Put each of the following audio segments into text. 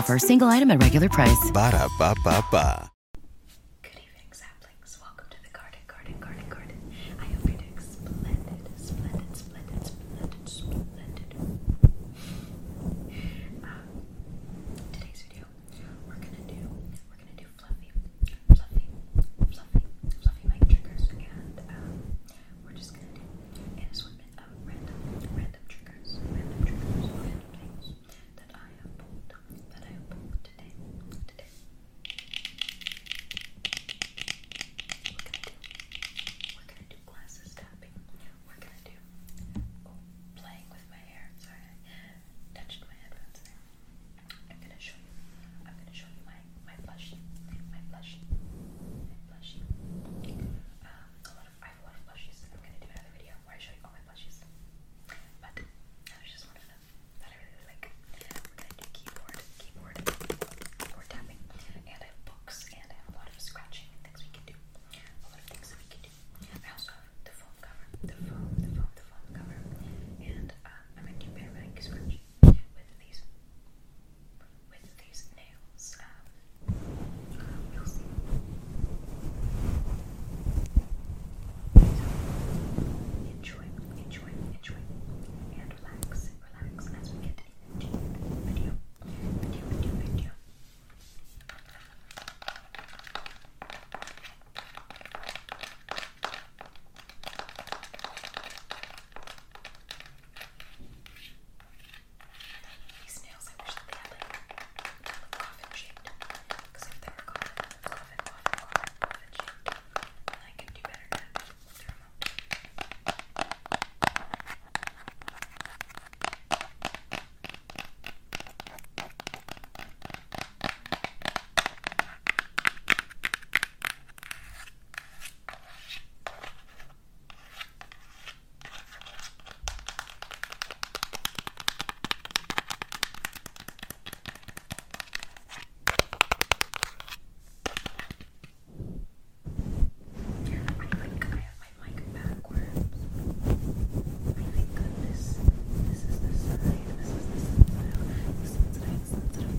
offer, single item at regular price. Ba da ba ba random triggers, random triggers, random things that I have pulled, that I have pulled today, today. What can I do? What can I do? Glasses tapping. What can I do? Oh, playing with my hair. Sorry, I my headphones I'm gonna show you. I'm gonna show you my my blush. My blush. My blush. Um, I have a lot of plushies. I'm gonna do another video where I show you all my blushes. But that just one of that I really, like. We're gonna keyboard, keyboard, keyboard tapping, and I have books and a lot of scratching and things we can do. A lot of things that we can do. I also have the foam cover, the foam, the foam, the foam cover, and um, I'm gonna do paramedic scratch with these with these nails. Um, you'll see. So, enjoy, enjoy, enjoy, and relax, relax as we get into the video, video, video, video. Okay, these nails, I wish that they had like coffin shaped. Because if they were coffin, coffin, coffin, coffin, coffin shaped, then I could do better at through them up think I have my mic backwards. I think that this this is the side, this is the sensitive, the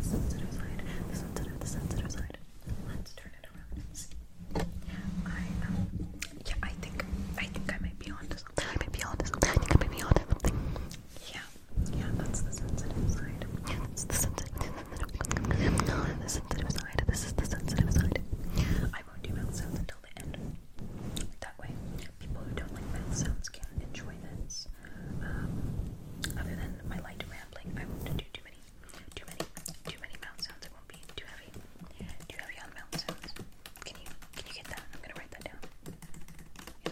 sensitive, sensitive, sensitive side, the sensitive, the sensitive side. Let's turn it around and see yeah, I think, I think I might be onto something. I might be onto something. I think I might be onto something. Yeah, yeah, that's the sensitive side. that's the sensitive, the sensitive side. This is the sensitive side. I won't do sounds until the end. That way, people who don't like mouth sounds can enjoy this. Um, other than my light rambling, I won't do too many too many, too many mouth sounds. It won't be too heavy. Too heavy on mouth sounds. Can you, can you get that? I'm gonna write that down. Yeah.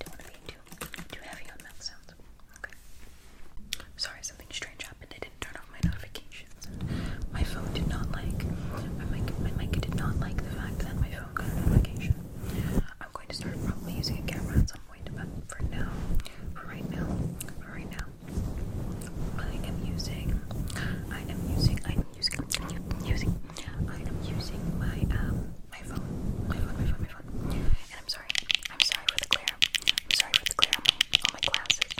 Don't want to be too, too heavy on mouth sounds. Okay. Sorry, something strange happened. I didn't turn off my notifications. and My phone did not like. My mic, my mic did not like the fact that my phone got a notification. I'm going to start probably using a camera at some point, but for now, for right now, for right now, I am using, I am using, I am using, using, I am using my um my phone, my phone, my phone, And I'm sorry, I'm sorry for the glare. I'm sorry for the glare on my, glasses,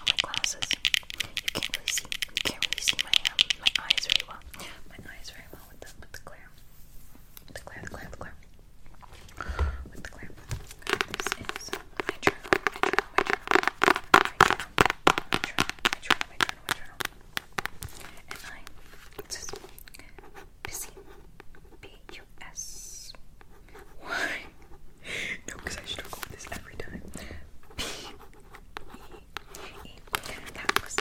on my glasses. You can't really see, you can't really see my um my eyes very well, my eyes very well with the with the glare, with the glare, the glare, the glare, with the glare. This is my journal, my journal, my journal, my journal, my journal, my journal, my journal, my journal. And mine says Busy B-U-S. Why? no, because I struggle with this every time. B-E-E. That was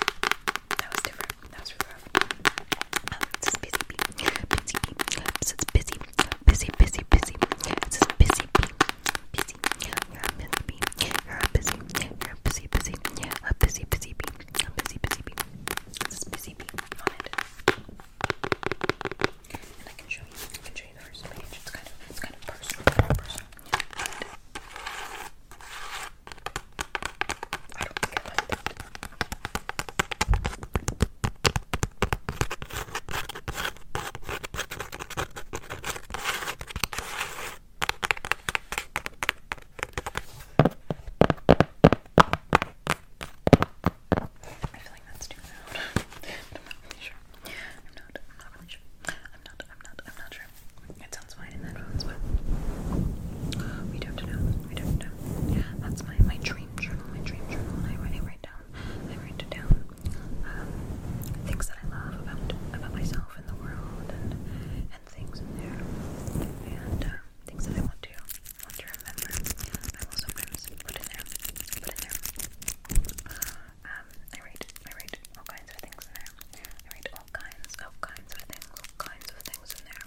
that was different. That was really rough. Um, oh, it says busy Busy busy busy, busy, busy. This is busy bee, busy. You're a busy bee. You're a busy. You're a busy, busy. A busy, busy bee. A busy, busy bee. This is busy bee on it. And I can show you. I can show you the first page. It's kind of, it's kind of personal, personal. I don't think I like that. I feel like that's too loud. not really sure. I'm not, I'm not really sure. I'm not, I'm not, I'm not sure. It sounds fine in headphones, but we don't know. We don't know. That's my, my dream journal, my dream journal, I write, I write down I write it down um, things that I love about about myself and the world, and and things in there, and um, things that I want to want to remember. I will sometimes put in there, put in there. Um, I write, I write all kinds of things in there. I write all kinds, all kinds of things, kinds of things in there.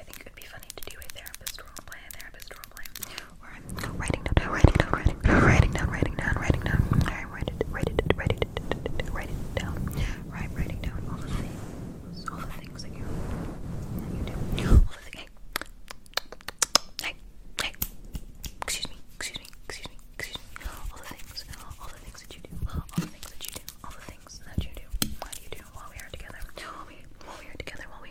I think it would be funny to do a therapist role play, a therapist role play where I'm writing down, writing down, writing down, writing down, writing down, writing down. I write it, write it, write it, write it down. Right, writing down all the things, all the things that you, that you do. All the things. Hey, hey, hey. Excuse me, excuse me, excuse me, excuse me. All the things, all the things that you do, all the things that you do, all the things that you do. What do you do while we are together? While we, while we are together, while we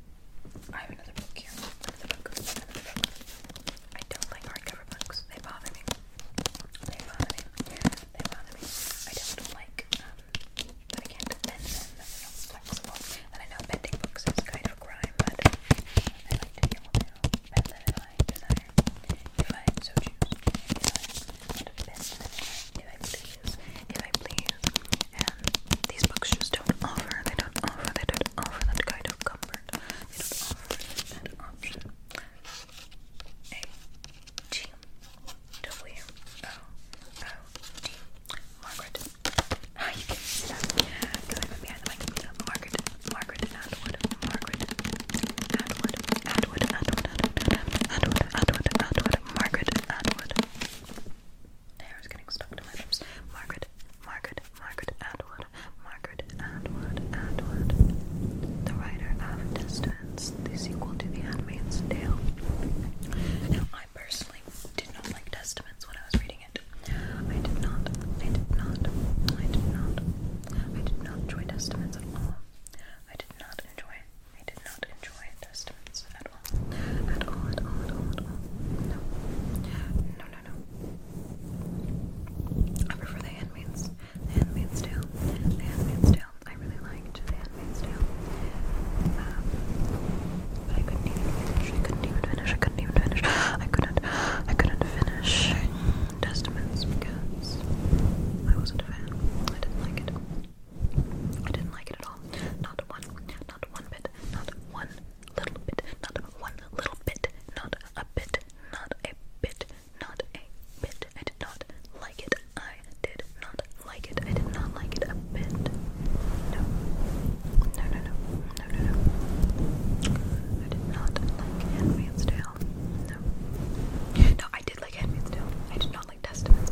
I have another book here. Another book. Another book. I don't like hardcover books. They bother me. They bother me. They bother me. I don't like um, that I can't bend them. That's not flexible. And I know bending books is kind of a crime, but I like to be able to bend them if I desire. If I so choose. If I want to bend them if I please. If I please and these books just don't offer, they don't offer, they don't offer that kind of comfort, they don't offer that option. A G W O O D Margaret. Oh, you can see that Yeah, because I'm behind the mic. Margaret, Margaret Atwood, Margaret Atwood, Atwood, Atwood, Atwood, Atwood, Atwood, Margaret Atwood hair is getting stuck to my lips. Margaret, Margaret, Margaret Atwood, Margaret Atwood, Atwood. The writer of Distance, the sequel to The Handmaid's Tale. Now, I personally did not like Testaments when I was reading it. I did not, I did not, I did not, I did not enjoy Testaments at all. I did not enjoy, I did not enjoy Testaments at all. At all, at all, at all, at all. No. No, no, no. I prefer The Handmaid's. The Handmaid's Tale. The Handmaid's Tale. I really liked The Handmaid's Tale. Um, but I couldn't even finish. I couldn't even finish. I couldn't even finish. I couldn't, I couldn't finish Testaments because I wasn't a fan. I didn't like it. I didn't like it at all. Not one, not one bit, not one little bit, not one little bit, not a bit, not a bit, not a bit. I did not like it. I did not like it. I did not like it a bit. No. No, no, no. No, no, no. I did not like Handmaid's Tale. No. No, I did like Handmaid's Tale. I did not like Testaments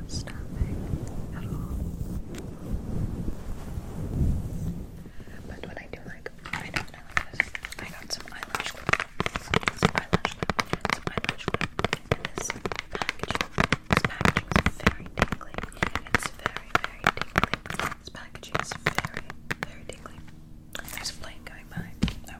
But what I do like, I know what I this. I got some eyelash glue, some eyelash glue, some eyelash glue, this packaging. is very very, very There's a plane going by. Oh.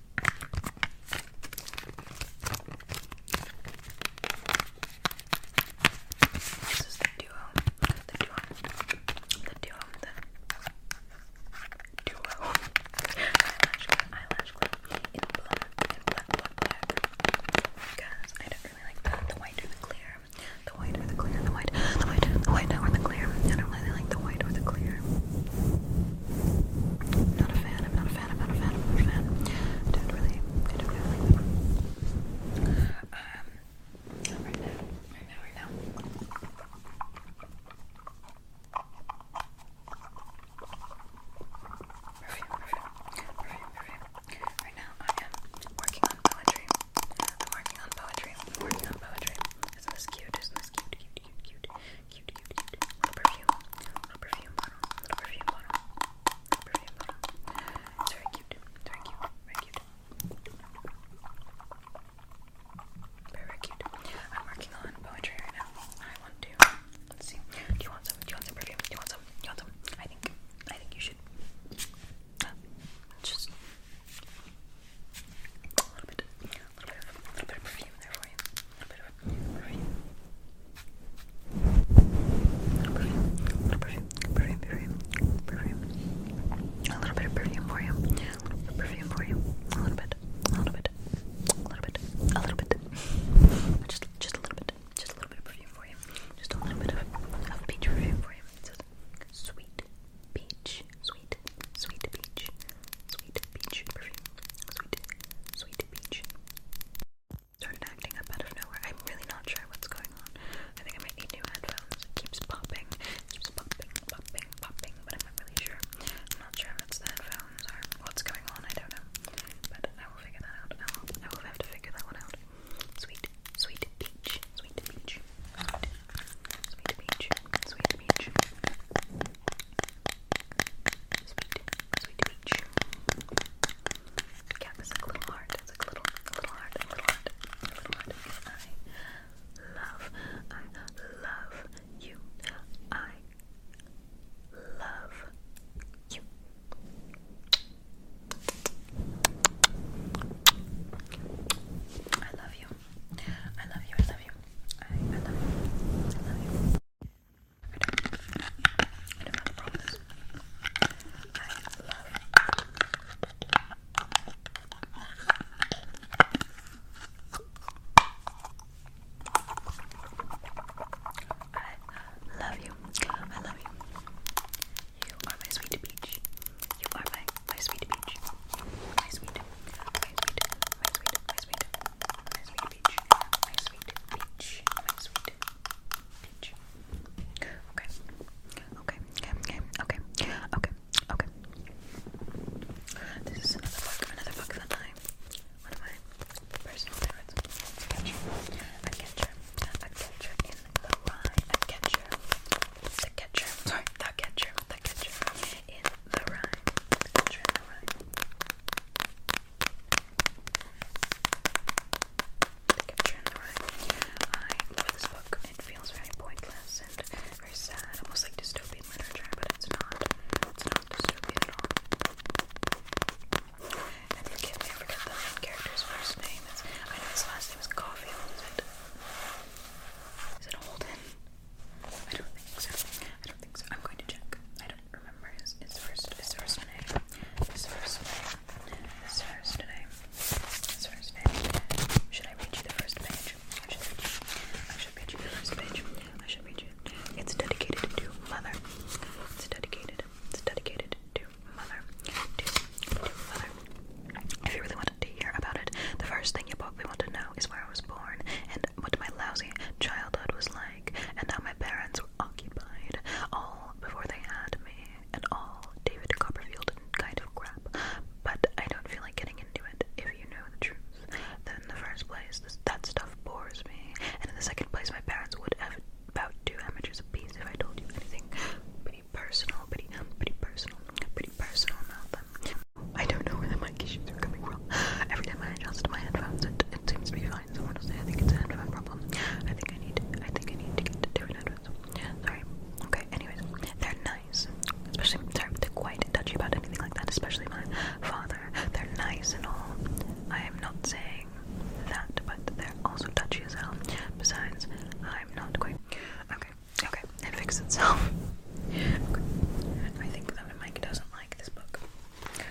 this is the duo, the duo, the duo, the duo eyelash glue, eyelash glue in black, in black, Because I don't really like the, white or the clear, the white or the clear, the white, the white, the white or the clear. I don't really like the white or the clear. Not a fan, I'm not a fan, I'm not a fan, I'm not a fan. I am not a fan i am not a fan i am not a fan do not really, don't really Um, right now, right now, right now. Right now I am working on poetry. working on poetry, working on poetry. Isn't this cute, isn't this cute, cute, cute, cute, very cute, very cute, very cute. Very, cute. I'm working on poetry right now. I want to. Let's see. Do you want some? Do you want some perfume? Do you want some? Do you want some? I think. I think you should. Uh, just a little bit little bit a little bit of perfume for you. perfume. perfume, perfume, perfume, perfume, A little bit of perfume for you. perfume for you. A little bit, a little bit, a little bit, a little bit. Just, just a little bit, just a little bit of perfume for you. Just a little bit of, peach perfume for you. sweet peach, sweet, sweet peach, Sweet peach perfume. Sweet, sweet peach. Started acting up out of nowhere. I'm really not sure what's going on. I think I might need new headphones. It keeps popping, keeps popping, popping, popping, but I'm not really sure. I'm not sure if it's the headphones or what's going on. I don't know. But I will figure that out. I will, I will have to figure that one out. Sweet, sweet peach, sweet peach, sweet, sweet peach, sweet peach. Sweet, sweet beach. Yeah, it's like a little heart. It's like a little, little heart, a little heart, a little heart. I love, I love you. I love you. I love you. I love you. I love you. I love you. You are my sweet peach. You are my sweet peach. My My sweet. My sweet. My sweet. My sweet peach, my Okay, okay, okay, okay, okay, okay. This is another book, another book that I, one of my personal favorites. A catcher, a catcher, a catcher in the rye, the catcher, the catcher, the catcher the catcher in the rye. I love this book. It feels very pointless and very sad, almost like dystopian literature, but it's not. It's not dystopian at all. I forgot the character's first name. I know his last name is Caulfield, is it Holden? I don't think so. I don't think so. I'm going to check. I don't remember his, his first his first name. His first name. His first name. His first name. Should I read you the first page? I should read you. I should read you the first page. I should read you. It's dedicated to mother. It's dedicated. It's dedicated to mother. To, to mother. If you really wanted to hear about it, the first thing you probably want to know is where I was born and what my lousy childhood was like and how my parents were occupied, all before they had me, and all David Copperfield kind of crap. But I don't feel like getting into it if you know the truth. then in the first place, that stuff bores me, and in the second place, my parents would have about two amateurs apiece if I told you anything pretty personal, pretty, pretty personal, pretty personal I don't know where the mic are coming from. Every time I adjust my headphones, it, seems to be fine. So honestly, I think it's a headphone problem. I think I need, I think I need to get different headphones. Sorry. Okay. Anyways, they're nice. Especially, they're, quite touchy about anything like that. Especially my father. They're nice and all. I am not saying that, but they're also touchy as hell. Besides, I'm not quite. Okay. Okay. It fixed itself. Okay. I think that my doesn't like this book. I'm gonna a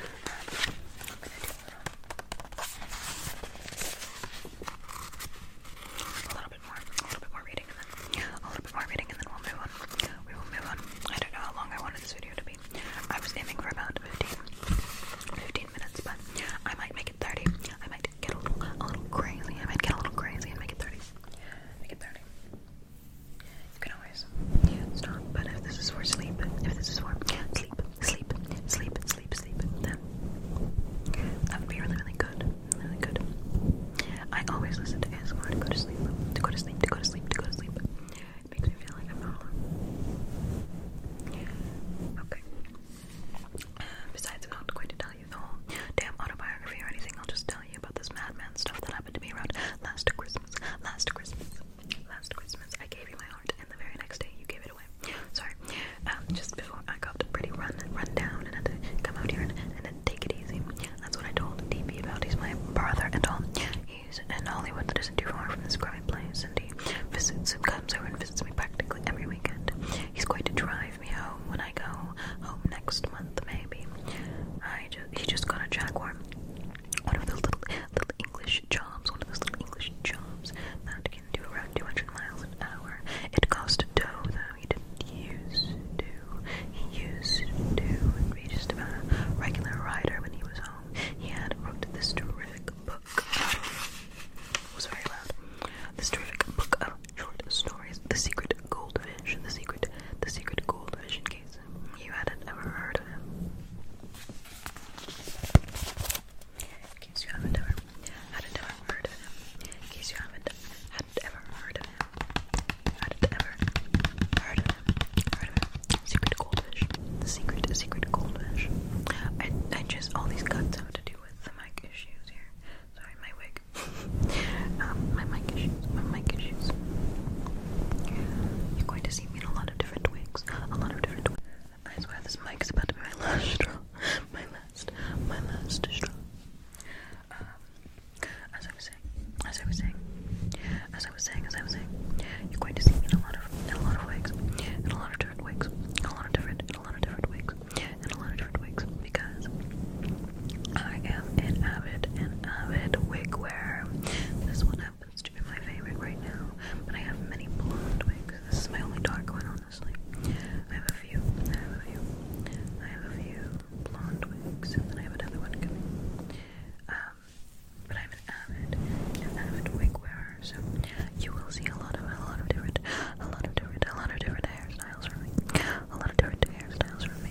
little, bit more, a little bit more reading, and then a little bit more reading, and then we'll move on. We will move on. I don't know how long I wanted this video to be. I was aiming for about 15, minutes, but I might make it 30. I might get a little, a little crazy. I might get a little crazy and make it 30. Make it 30. You can always stop, but if this is for sleep, if this is for sleep, sleep, sleep, sleep, sleep, then that would be really, really good. Really good. I always listen to ASMR to go to sleep, to go to sleep, to go to sleep, to go to sleep. It makes me feel like I'm not alone. Okay. besides, I'm not going to tell you the whole damn autobiography or anything. I'll just tell you about this madman stuff that happened to me around last Christmas. Last Christmas. Last Christmas, I gave you my heart, and the very next day, you gave it away. Sorry. Um, just before I got pretty run, run down, and had to come out here and, and take it easy. That's what I told DB about. He's my brother and all. He's in Hollywood that isn't too far from this grimy place, and he visits and comes over and visits me practically every weekend. He's going to drive me home when I go home next month, maybe. I just, he just got a Jaguar one of those little, little English jobs, one of those little English jobs that can do around 200 miles an hour. It cost dough, though. He didn't use to. He used to be just about a regular writer when he was home. He had wrote this terrific book. It was very loud. This terrific book of short stories, The Secret Goldfish, The Secret, The Secret Goldfish case you hadn't ever heard of him. In case you haven't ever heard of him. In case you haven't ever heard of him. heard of him. Heard of him. Secret goldfish. secret secret goldfish. I I just all these cuts have to do with mic issues here. Sorry, my wig. um, my mic issues. My mic issues. You're going to to a lot of different wigs. A lot of different wigs. I swear this mic is about to be my last straw. My last, my last straw. Um, as I was saying, as I was saying, as I was saying, as I was saying, you're going to see me in a lot of, a lot of wigs, in a lot of different wigs, a lot of different, a lot of different wigs, in a lot of different wigs, because I am an avid, an avid wig wearer. This one happens to be my favorite right now, but I have many blonde wigs. This is my only dark one, honestly. I have a few. I have a few. I have a few blonde wigs, and then I have another one coming. Um, but I'm an avid, an avid wig wearer, so you will see a lot of, a lot of different, a lot of different, a lot of different hairstyles from me. A lot of different hairstyles from me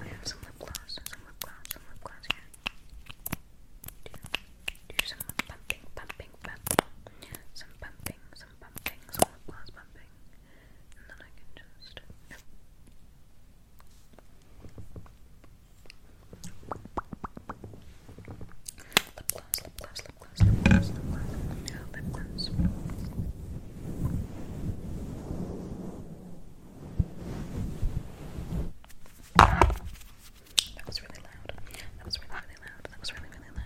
I have some lip gloss, some lip gloss, some lip gloss here. Do, some pumping, pumping, pumping. Some pumping, some pumping, some lip gloss pumping. And then I can just. Lip gloss, lip gloss, lip gloss, lip gloss, lip gloss. Lip Lip gloss. That was really loud. That was really, really loud. That was really, really loud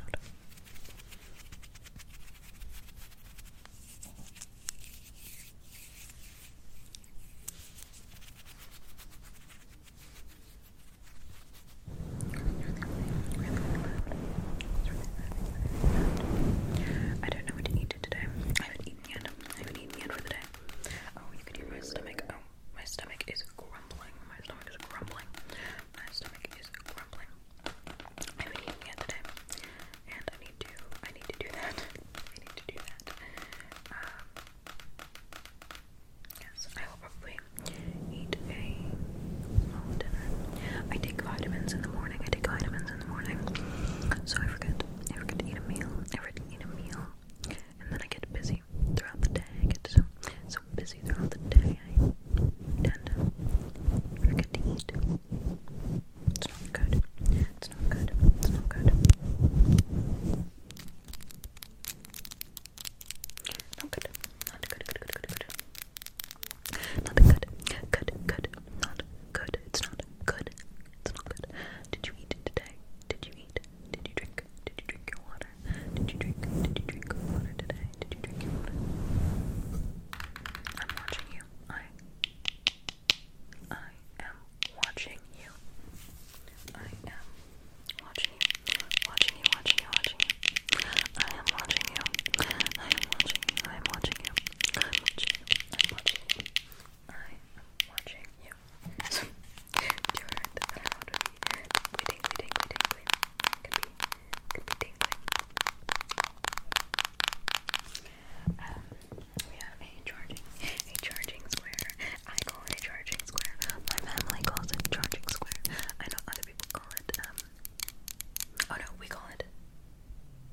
don't know what to eat today. I haven't eaten yet. I haven't eaten yet for the day. Oh, you can hear my stomach. Oh, my stomach is grumbling. My stomach is grumbling. My stomach is grumbling. I haven't eaten yet today, and I need to. I need to do that. I need to do that. Um, yes, I will probably eat a small dinner. I take vitamins in the morning. I take vitamins in the morning. So I forget. I forget to eat a meal. I forget to eat a meal. And then I get busy throughout the day. I get so, so busy throughout the day. I tend to forget to eat. It's not good. It's not good. It's not good. Not good. Not good. Good. Good. Good. good. Not good. Good, good. Not good. It's not good. It's not good. Did you eat today? Did you eat? Did you drink? Did you drink your water? Did you drink? Did you drink water today? Did you drink your water? I'm watching you. I I am watching you. I am watching you. Watching you, watching you, watching you. I I am watching you. I am watching you. I am watching you. I am watching you. I am watching you. I am watching you. Do you heard that I want to be waiting, waiting, waiting, waiting. Could be, could be tingling. Um, we have a charging, a charging square. I call it a charging square. My family calls it charging square. I know other people call it, um, oh no, we call it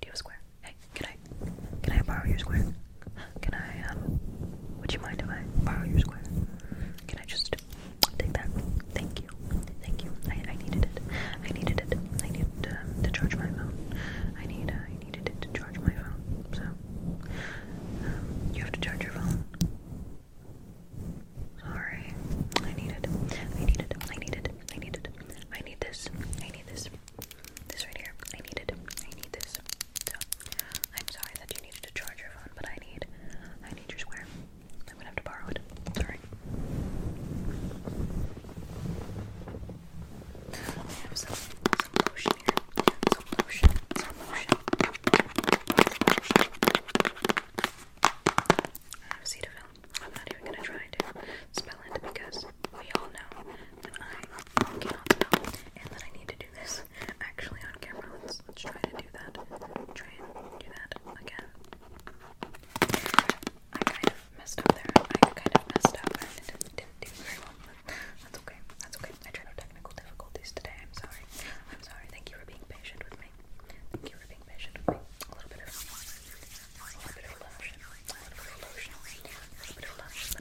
Do a square? Hey, can I, can I borrow your square? Can I, um, would you mind if I borrow your square? Can I just take that? Thank you. Thank you. I, I needed it. I needed it. I needed um, to charge my phone. I need, I needed it to charge my phone. So, um, you have to charge your phone. Sorry. I need it. I need it. I need I need I need this. I need this. This right here, I need I need this. So I'm sorry that you needed to charge your phone, but I need, I need your square. I'm gonna have to borrow it. Sorry. I have some some lotion here. Some lotion. Some lotion. I have Cetaphil. I'm not even gonna try to spell it because we all know I cannot tell, and that I need to do this actually on camera. Let's, let's try to do that. Try and do that again. I kind of messed up there. I kind of messed up and didn't, didn't do very well, that's okay. That's okay. I tried technical difficulties today. I'm sorry. I'm sorry. Thank you for being patient with me. Thank you for being patient with me. A little bit of, a little bit of lotion. A little bit of A little bit of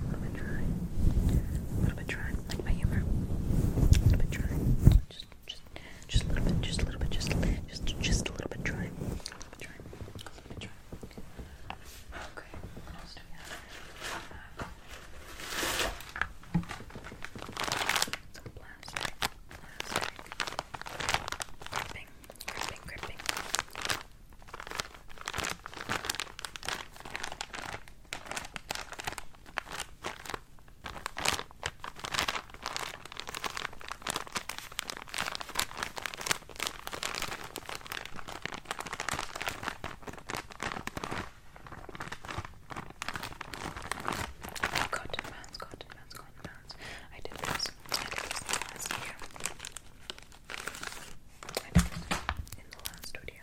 a little bit dry, a little bit dry, like my humor, a little bit dry, just, just, just a little bit, just a little bit, just, a little bit dry, a little bit dry, a little bit dry. Okay, Some plastic, plastic, gripping, gripping. Cotton bands, cotton bands, cotton bands. I did this. I did this last year. I did this in the last video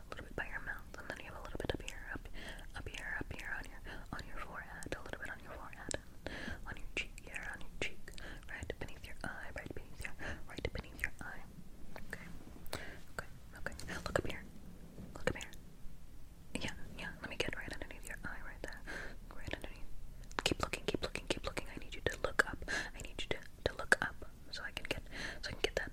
a little bit by your mouth, and then you have a little bit up here, up, up here, up here on your on your forehead, a little bit on your forehead, on your cheek here, on your cheek, right beneath your eye, right beneath your right beneath your eye. Okay, okay, okay. Look up here. Look up here. Yeah, yeah. Let me get right underneath your eye, right there, right underneath. Keep looking, keep looking, keep looking. I need you to look up. I need you to to look up so I can get so I can get that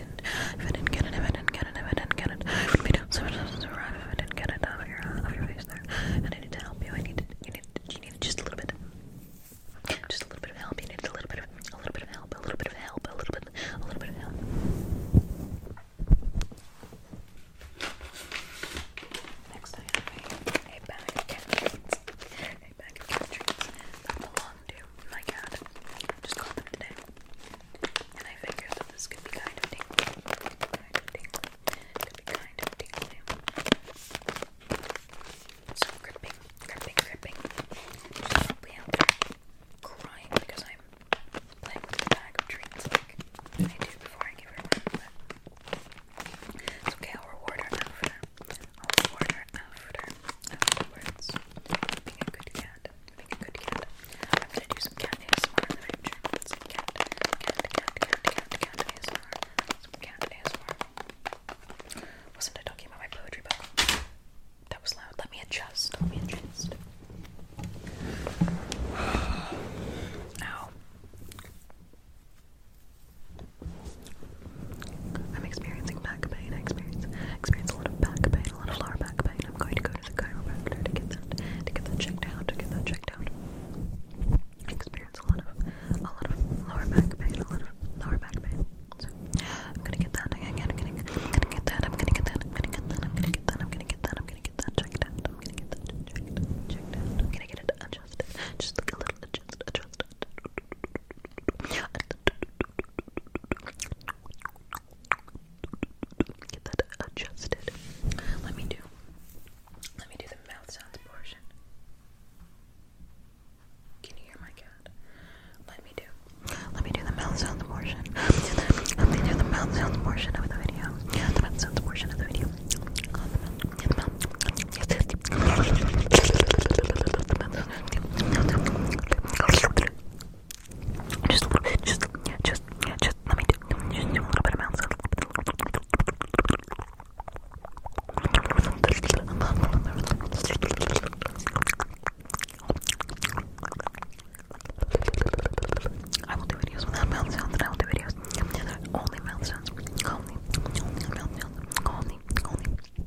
didn't, if I didn't get it, if I didn't get it, if I didn't get it, I would be down so survive if I didn't get it out of your, out of your face there. And I need to help you. I need, you need, you need just a little bit, just a little bit of help. You need a little bit of, a little bit of help, a little bit of help, a little bit, a little bit of help. Next I have a, a bag of cat treats, a bag of cat treats that belong them My cat just called them today. And I figured that this could be kind of tingly. Could be kind of tingly. So gripping, gripping, gripping. probably out crying because I'm playing with a bag of treats like I do before I give her one. But okay, I'll reward her after. I'll reward her after. Afterwards. Being a good cat. Make a good cat. I'm to do some cat ASMR in Wasn't I talking about my poetry book? That was loud. Let me adjust. Let me adjust. Ow. I'm experiencing back pain. I experience, experience a lot of back pain a lot of lower back pain. I'm going to go to the chiropractor to get that to get that checked out. To get that checked out. experience a lot of a lot of lower back pain. A lot of lower back pain. I'm gonna get that. I'm gonna get that. I'm gonna get that. I'm gonna get that. I'm gonna get that. I'm gonna get that. I'm gonna get that checked out. I'm gonna get that checked out. Checked out. I'm gonna get it adjusted. Just a little adjust adjust. Get that adjusted. Let me do. Let me do the mouth sounds portion. Can you hear my cat? Let me do. Let me do the mouth sounds portion. Let me do the mouth sounds portion of the video. Yeah, the mouth sounds portion of the video. Just a little bit, just, just, just let me do, just do a little bit of mouth. I will do videos without mouth sounds, and I will do videos only mouth sounds. Only, only mouth sounds. Only, only,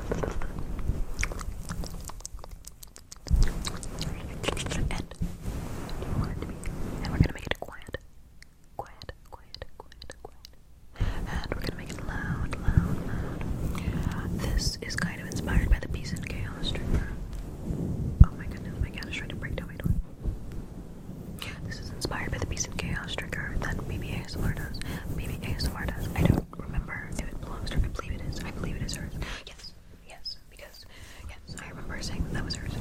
and we're gonna make it quiet, quiet, quiet, quiet, and we're gonna make it loud, loud, loud. This is kind of inspired by the Peace and Chaos streamer. Oh my goodness, my cat is trying to break down my door. This is inspired by the Peace and Chaos trigger that BB ASMR does. BB I don't remember it belongs to her. I believe it is. I believe it is hers. Yes, yes, because yes, I remember saying that, was hers.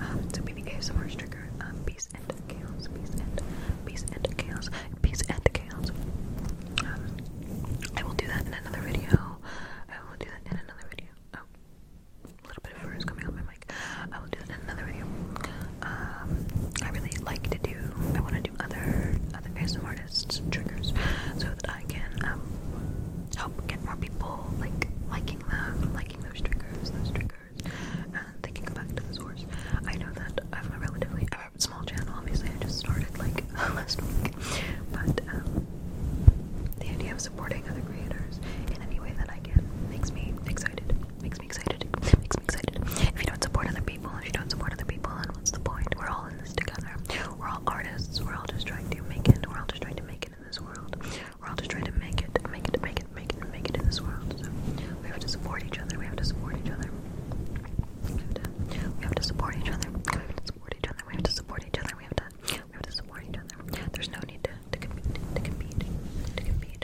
Um, so BBK some orange trigger. Um, peace and chaos. Peace and peace and chaos. Peace and chaos. Um, I will do that in another video. I will do that in another video. Oh, a little bit of fur is coming on my mic. I will do that in another video. Um, I really like to do. I want to other other ASMR artists' triggers so that I can um, help get more people like liking them, liking those triggers, those triggers, and thinking back to the source. I know that I have a relatively small channel. Obviously, I just started like last week, but um, the idea of supporting other creators in any way that I can makes me excited. Makes me excited. Makes me excited. If you don't support other people, if you don't support other people, then what's the point? We're all in this together. We're all artists. We're all just trying to make it. We're all just trying to make it in this world. We're all just trying to make it, make it, make it, make it, make it in this world. So we have to support each other. We have to support each other. We have to, we have to support each other. We have to support each other. We have to support each other. We have to, we have to support each other. There's no need to, to compete, to compete, to compete,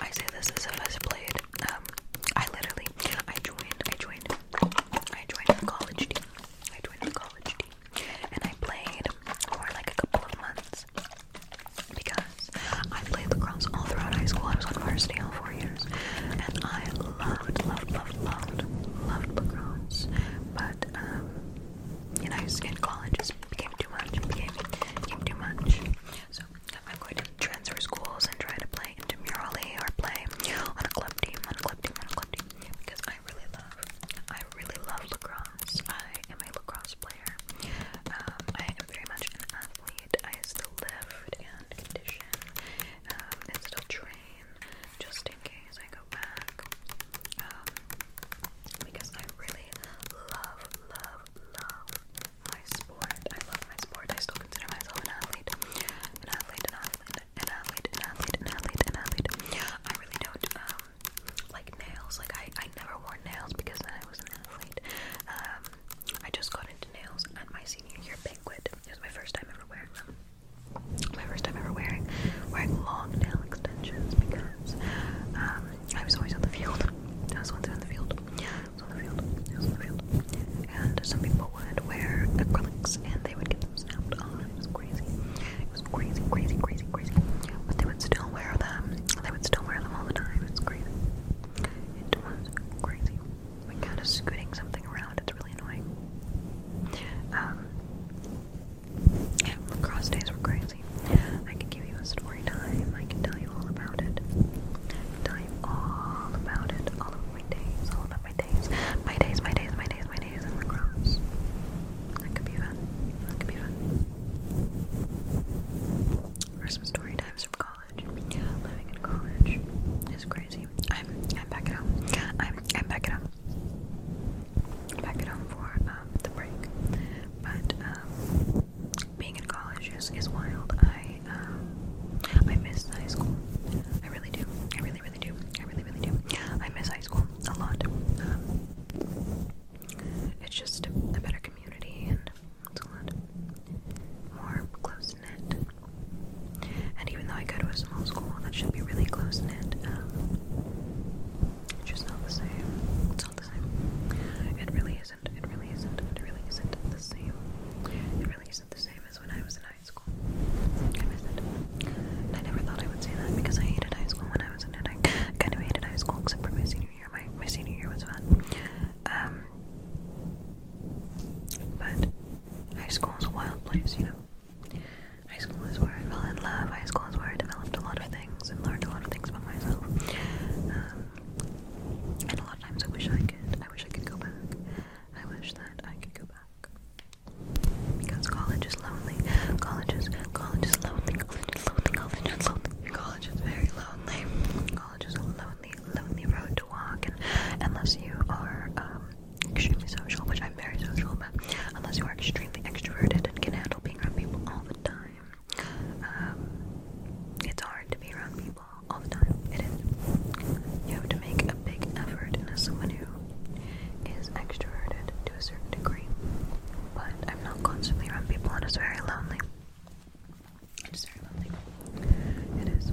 I say this as if I played. Um, I literally, I joined, I joined, I joined the college team. I joined the college team, and I played for like a couple of months because I played lacrosse all throughout high school. I was on varsity all four years, and I loved, loved, loved, loved, loved lacrosse. But um, you know, in college just became too much, it became, too much. So I'm going to transfer schools and try to play in intramurally or play on a club team, on a club team, on a club team, because I really love, I really love lacrosse. I am a lacrosse player. Um, I am very much an athlete. I still lift and condition um, and still train just in case I go back. Um, because I really love, love, love my sport. I love my sport. I still consider myself an athlete. An athlete, an athlete, an athlete, an athlete, an athlete, I really don't like nails. Like I, I never wore nails because I was an athlete. I just got into nails at my senior year banquet. It was my first time ever wearing them. My first time ever wearing wearing long nail extensions because um, I was always on the field. I was always on the field. I was on the field. I was on the field. And some people would wear acrylics and they would get them snapped on. Oh, it was crazy. It was crazy, crazy, crazy, crazy. But they would still wear them. They would still wear them all the time. It's crazy. It was crazy. We kind of scooting something around. It's really annoying. Um, yeah, lacrosse days were great. I can give you a story time. I can tell you all about it. Tell you all about it. All of my days. All about my days. My days. My days. My days. My days in lacrosse. That could be fun. That could be fun. Or story times from college. Living in college is crazy. I'm I'm back at home. I'm I'm back at home. Back at home for um, the break, but um, being in college is, is wild. I um, I miss high school. I really do. I really, really do. I really, really do. I miss high school a lot. Um, it's just a better community and it's a lot more close knit. And even though I go to a small school that should be really close knit, um, it's just not the same. It's not the same. It really isn't. It really isn't. It really isn't the same. It really isn't the same as when I was in high school. I miss it. I never thought I would say that because I hated high school when I was in it. I kind of hated high school except for my senior year. My, my senior year was fun. Um, but high school is a wild place, you know. High school is where I fell in love. High school is where I developed a lot of things of things and learned a lot of things about myself. Um, and a lot of times I wish I could. I wish I could go back. I wish that I could go back. Because college is lonely. College is college is lonely. College is lonely. College is lonely. College is very lonely. College is a lonely, lonely road to walk. And unless you are um, extremely social, which I'm very social, but unless you are extremely extroverted and can handle being around people all the time, um, it's hard to be around people all the time. You have to make a big effort, as someone who is extroverted to a certain degree, but I'm not constantly around people, and it's very lonely. It is very lonely. It is.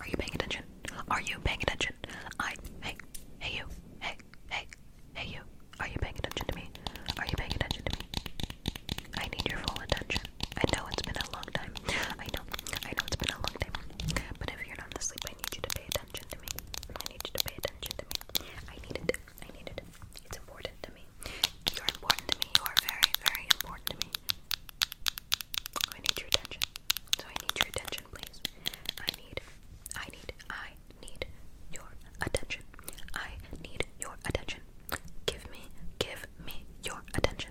Are you paying attention? Are you paying attention? I hey hey you hey hey hey you. Are you paying attention to me? Are you paying attention to me? I need your full attention. I know it's been a long time. I know I know it's been a long time. But if you're not asleep, I need you to pay attention to me. I need you to pay attention to me. I need it. I need it. It's important to me. You're important to me. You are very, very important to me. I need your attention. So I need your attention, please. I need, I need, I need your attention. I need your attention. Give me, give me your attention.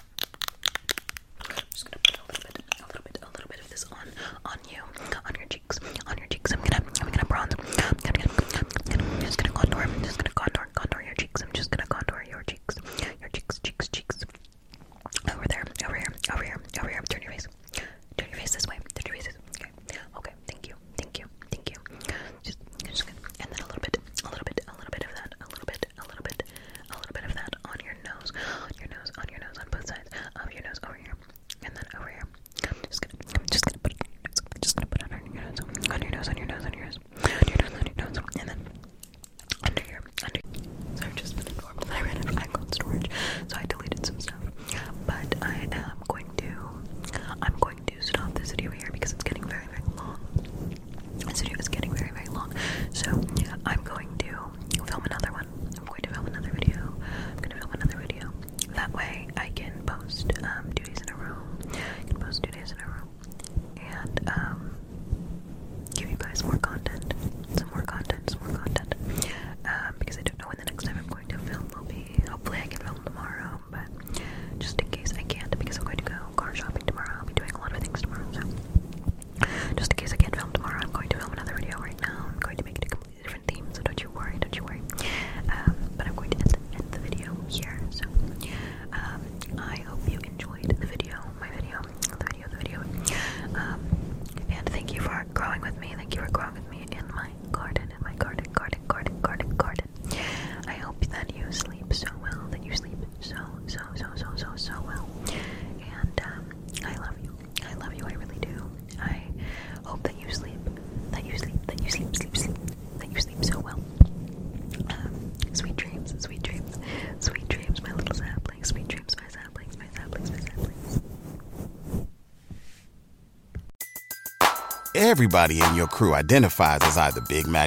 I'm just gonna put a little bit, a little bit, a little bit of this on, on you, on your cheeks, on your cheeks. I'm gonna, I'm gonna bronze. I'm gonna, I'm just gonna contour. I'm just gonna contour, contour your cheeks. I'm just gonna contour your cheeks, your cheeks, cheeks, cheeks. Over there, over here, over here, over here. Turn your face, turn your face this way. Turn your face. This way. Okay, okay. Thank you, thank you, thank you. Just, just gonna, and then a little bit, a little bit, a little bit of that, a little bit, a little bit, a little bit of that on your nose, on your nose, on your nose, on both sides of your nose, over here, and then over here. just gonna, just gonna put, just gonna put on your nose, on your nose, on your nose, on your nose, on your nose, and then under here, So I've just been I ran out of iCloud storage, so I deleted some stuff. But I am going to, I'm going to stop this video here because it's getting very, very long. This video is getting very, very long. So I'm going to film another one. I'm going to film another video. I'm going to film another video. That way I can post um, two days in a row. I can post two days in a row. And um, give you guys more content. Some more content, some more content. Um, because I don't know when the next time I'm going to film will be. Hopefully I can film tomorrow, but just in case I can't because I'm going to go car shopping tomorrow. I'll be doing a lot of things tomorrow, so just in case I can't film tomorrow, I'm going to film another video right now. I'm going to make it a completely different theme, so don't you worry, don't you worry. Um, but I'm going to end, the video here. So um, I hope you enjoyed the video, my video, the video, the video. Um, and thank you for growing with me. Thank you for growing with me in my garden, in my garden, garden, garden, garden, garden. I hope that you sleep so well, that you sleep so, so, so, so, so, so well. And um, I love you. I love you. I really do. I hope that you sleep, that you sleep, that you sleep, sleep, sleep, that you sleep so well. Um, sweet dreams, sweet dreams, sweet dreams, my little sapling. sweet dreams, my saplings, my saplings, my saplings. Everybody in your crew identifies as either Big Mac